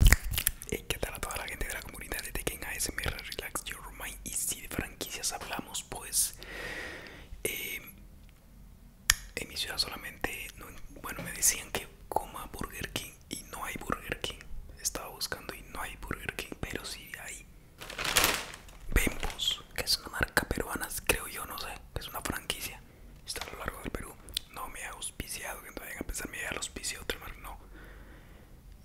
y eh, ¿Qué tal a toda la gente de la comunidad de Tekken ASMR Relax Your Mind? Y si de franquicias hablamos, pues eh, en mi ciudad solamente, bueno, me decían que coma Burger King y no hay Burger King. Estaba buscando y no hay Burger King, pero sí hay Bembos, que es una marca peruana, creo yo, no sé, que es una franquicia. Está a lo largo del Perú. No me ha que no vayan a pensar, me voy al auspicio a otro mar, no.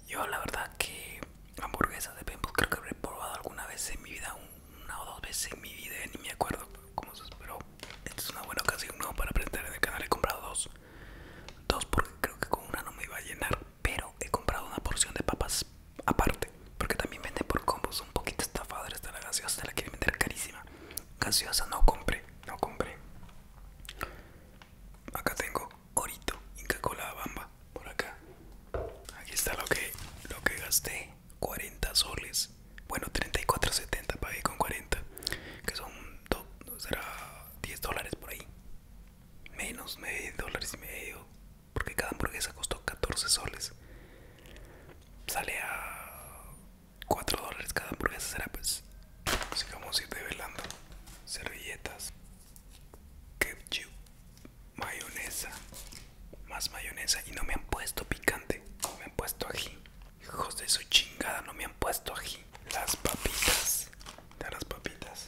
Yo la verdad que hamburguesas de Paintball creo que habré probado alguna vez en mi vida, una o dos veces en mi vida, ni me acuerdo cómo se esperó. Esta es una buena ocasión no para aprender en el canal, he comprado dos. Dos porque creo que con una no me iba a llenar, pero he comprado una porción de papas aparte, porque también venden por combos, un poquito estafadores está la gaseosa, la quieren vender carísima. Gaseosa no compré, no compré, Acá tengo Orito, Inca Cola Bamba, por acá. Aquí está lo que, gasté, 40 soles. Bueno, 34.70 pagué con 40, que son será 10 dólares por ahí. Menos, medio dólares y medio, porque cada hamburguesa costó 14 soles. Sale a 4 dólares cada hamburguesa será pues a ir velando servilletas ketchup mayonesa más mayonesa y no me han puesto picante No me han puesto ají hijos de su chingada no me han puesto ají las papitas de las papitas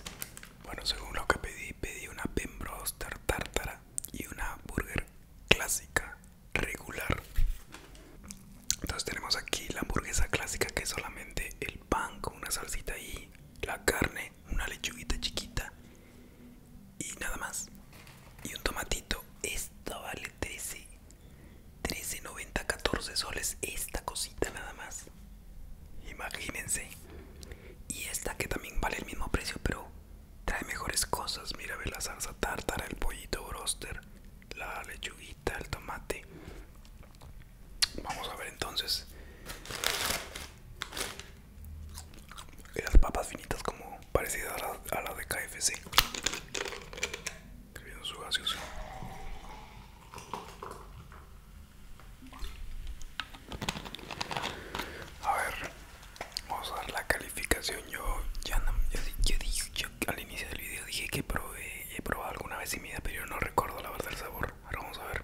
bueno según lo que pedí pedí una pembroster tártara y una burger clásica regular. Entonces tenemos aquí la hamburguesa clásica que es solamente el pan con una salsita y la carne, una lechuguita chiquita y nada más. Y un tomatito. esto vale 13. 13.90, 14 soles esta cosita nada más. Imagínense. Y esta que también vale el mismo precio, pero trae mejores cosas. Mira, ve la salsa tártara, el pollito broster, la lechuguita del el tomate. Vamos a ver entonces. Las papas finitas como parecidas a las de KFC. su A ver, vamos a dar la calidad yo ya no, yo, al inicio del video dije que probé, he probado alguna vez y mi pero yo no recuerdo la verdad el sabor. Ahora vamos a ver.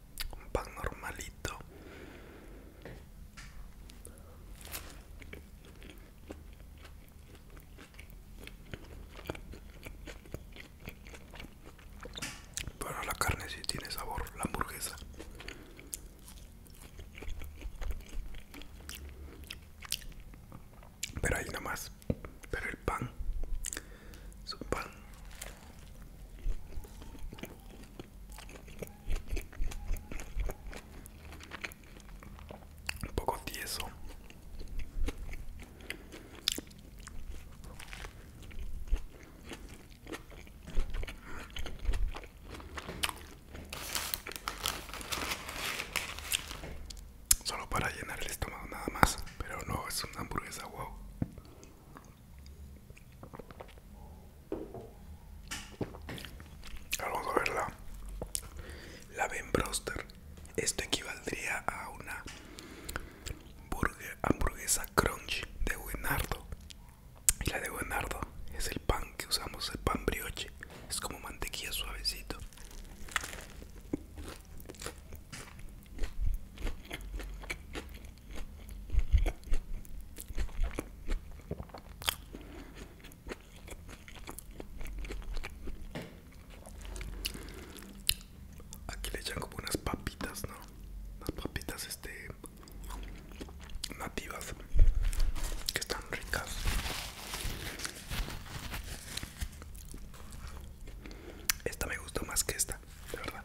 un pan normalito para la carne sí tiene sabor, la hamburguesa pero ahí más, pero el pan es un pan un poco tieso Solo para llenar el estómago nada más, pero no es una hamburguesa wow. Vamos a verla. La Ben Broster. Esto equivaldría a una burger, hamburguesa crunch de Buenardo. Y la de Buenardo es el pan que usamos, el pan brioche. Es como mantequilla suavecito. Aquí le echan como unas papitas, ¿no? Unas papitas este nativas que están ricas. Esta me gustó más que esta, de verdad.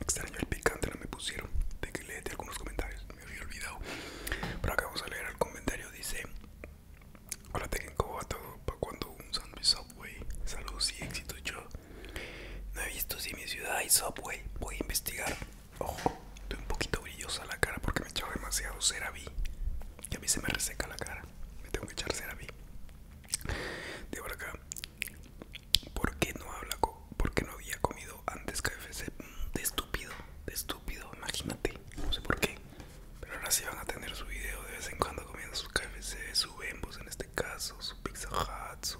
Extraño el picante, no me pusieron. De que de algunos comentarios, me había olvidado. Pero acá vamos a leer el comentario. Dice: Hola, técnico, a todo. Para cuando un sándwich Subway, saludos y éxito. Yo no he visto si mi ciudad hay Subway. Voy a investigar. Ojo, estoy un poquito brillosa la cara porque me he demasiado CeraVe. Y a mí se me reseca la cara. Me tengo que echar CeraVe. De por acá. ¿Por qué no habla? ¿Por qué no había comido antes KFC? Mm, de estúpido, de estúpido. Imagínate. No sé por qué. Pero ahora sí van a tener su video de vez en cuando comiendo sus KFC, su Bembos en este caso, su Pizza Hut,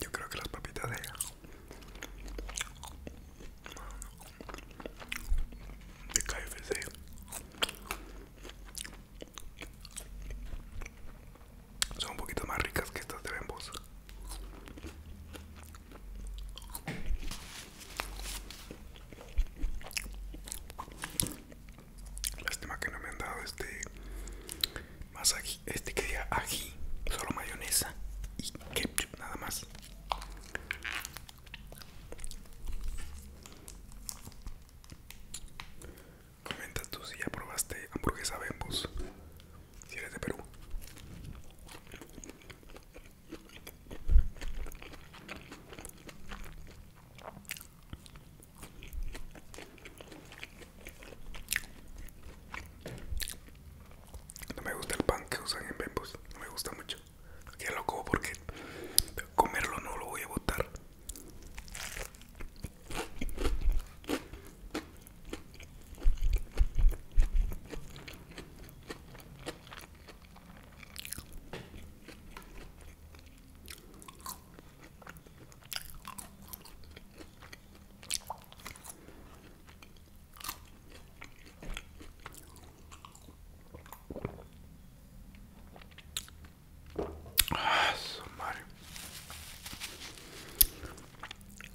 Yo creo que las papitas de de KFC son un poquito más ricas que estas de Lástima que no me han dado este más este que diga ají, solo mayonesa y ketchup nada más. Comenta tú si ya probaste hamburguesa Bembos, si eres de Perú. No me gusta el pan que usan en Bembos, no me gusta mucho. Aquí lo como porque comerlo no lo voy a botar. Ah,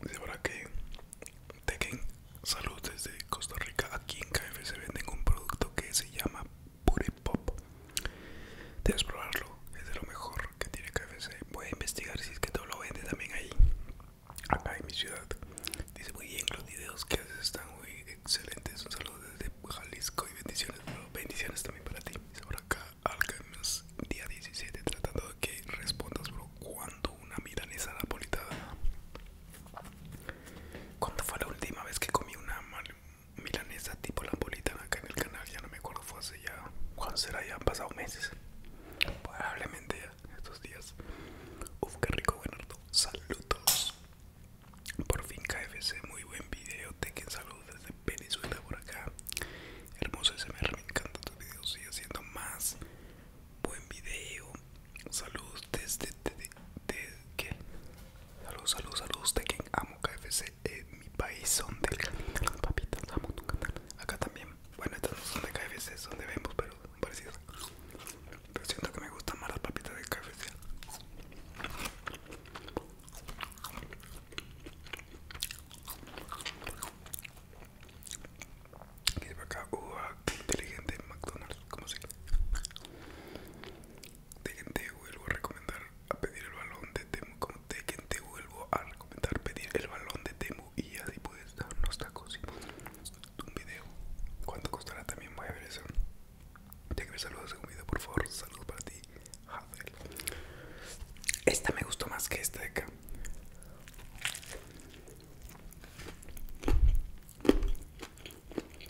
De verdad que quen Salud desde Costa Rica. Aquí en se venden un producto que se llama pop, Debes probarlo, es de lo mejor que tiene KFC. Voy a investigar si es que todo lo vende también ahí, acá en mi ciudad. Dice muy bien, los videos que haces están muy excelentes. Un saludo desde Jalisco y bendiciones, bendiciones también para ti. sobre acá acá, Games día 17, tratando de que respondas, bro, cuando una milanesa napolitana ¿Cuándo fue la última vez que comí una milanesa tipo la bolita acá en el canal? Ya no me acuerdo, fue hace ya... ¿Cuándo será? Ya han pasado meses. Probablemente estos días. Uf, qué rico, Bernardo. Saludos. Por fin KFC, muy buen video. quien saludos desde Venezuela por acá. Hermoso SMR, me encanta tus videos. Sigue haciendo más. Buen video. Saludos desde de, de, ¿qué? Saludos, saludos, saludos de quien amo KFC es eh, mi país son del canal papitas, amo tu canal. Acá también, bueno estas no son de KFC, son de vemos pero parecidas. Pero siento que me gustan más las papitas de KFC. Aquí acá uva, inteligente en McDonald's, como si Dejen, te vuelvo a recomendar a pedir el balón de Temu, como dejen te vuelvo a recomendar pedir el balón de Temu y así puedes darnos tacos y un video. ¿Cuánto costará? También voy a ver eso. Ya que me saludas en un video, por favor, saludos para ti. Hazel Esta me gustó más que esta de acá.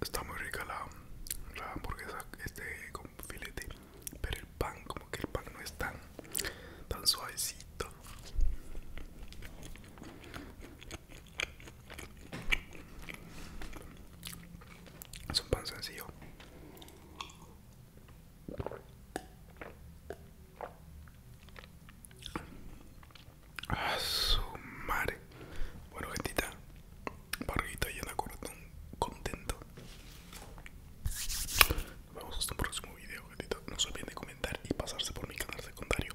Está muy rica la, hamburguesa este con filete, pero el pan, como que el pan no es tan, tan suavecito. Es un pan sencillo. A Bueno, gentita, barriguita llena, corazón contento. Nos vemos hasta un próximo video, No se olviden de comentar y pasarse por mi canal secundario.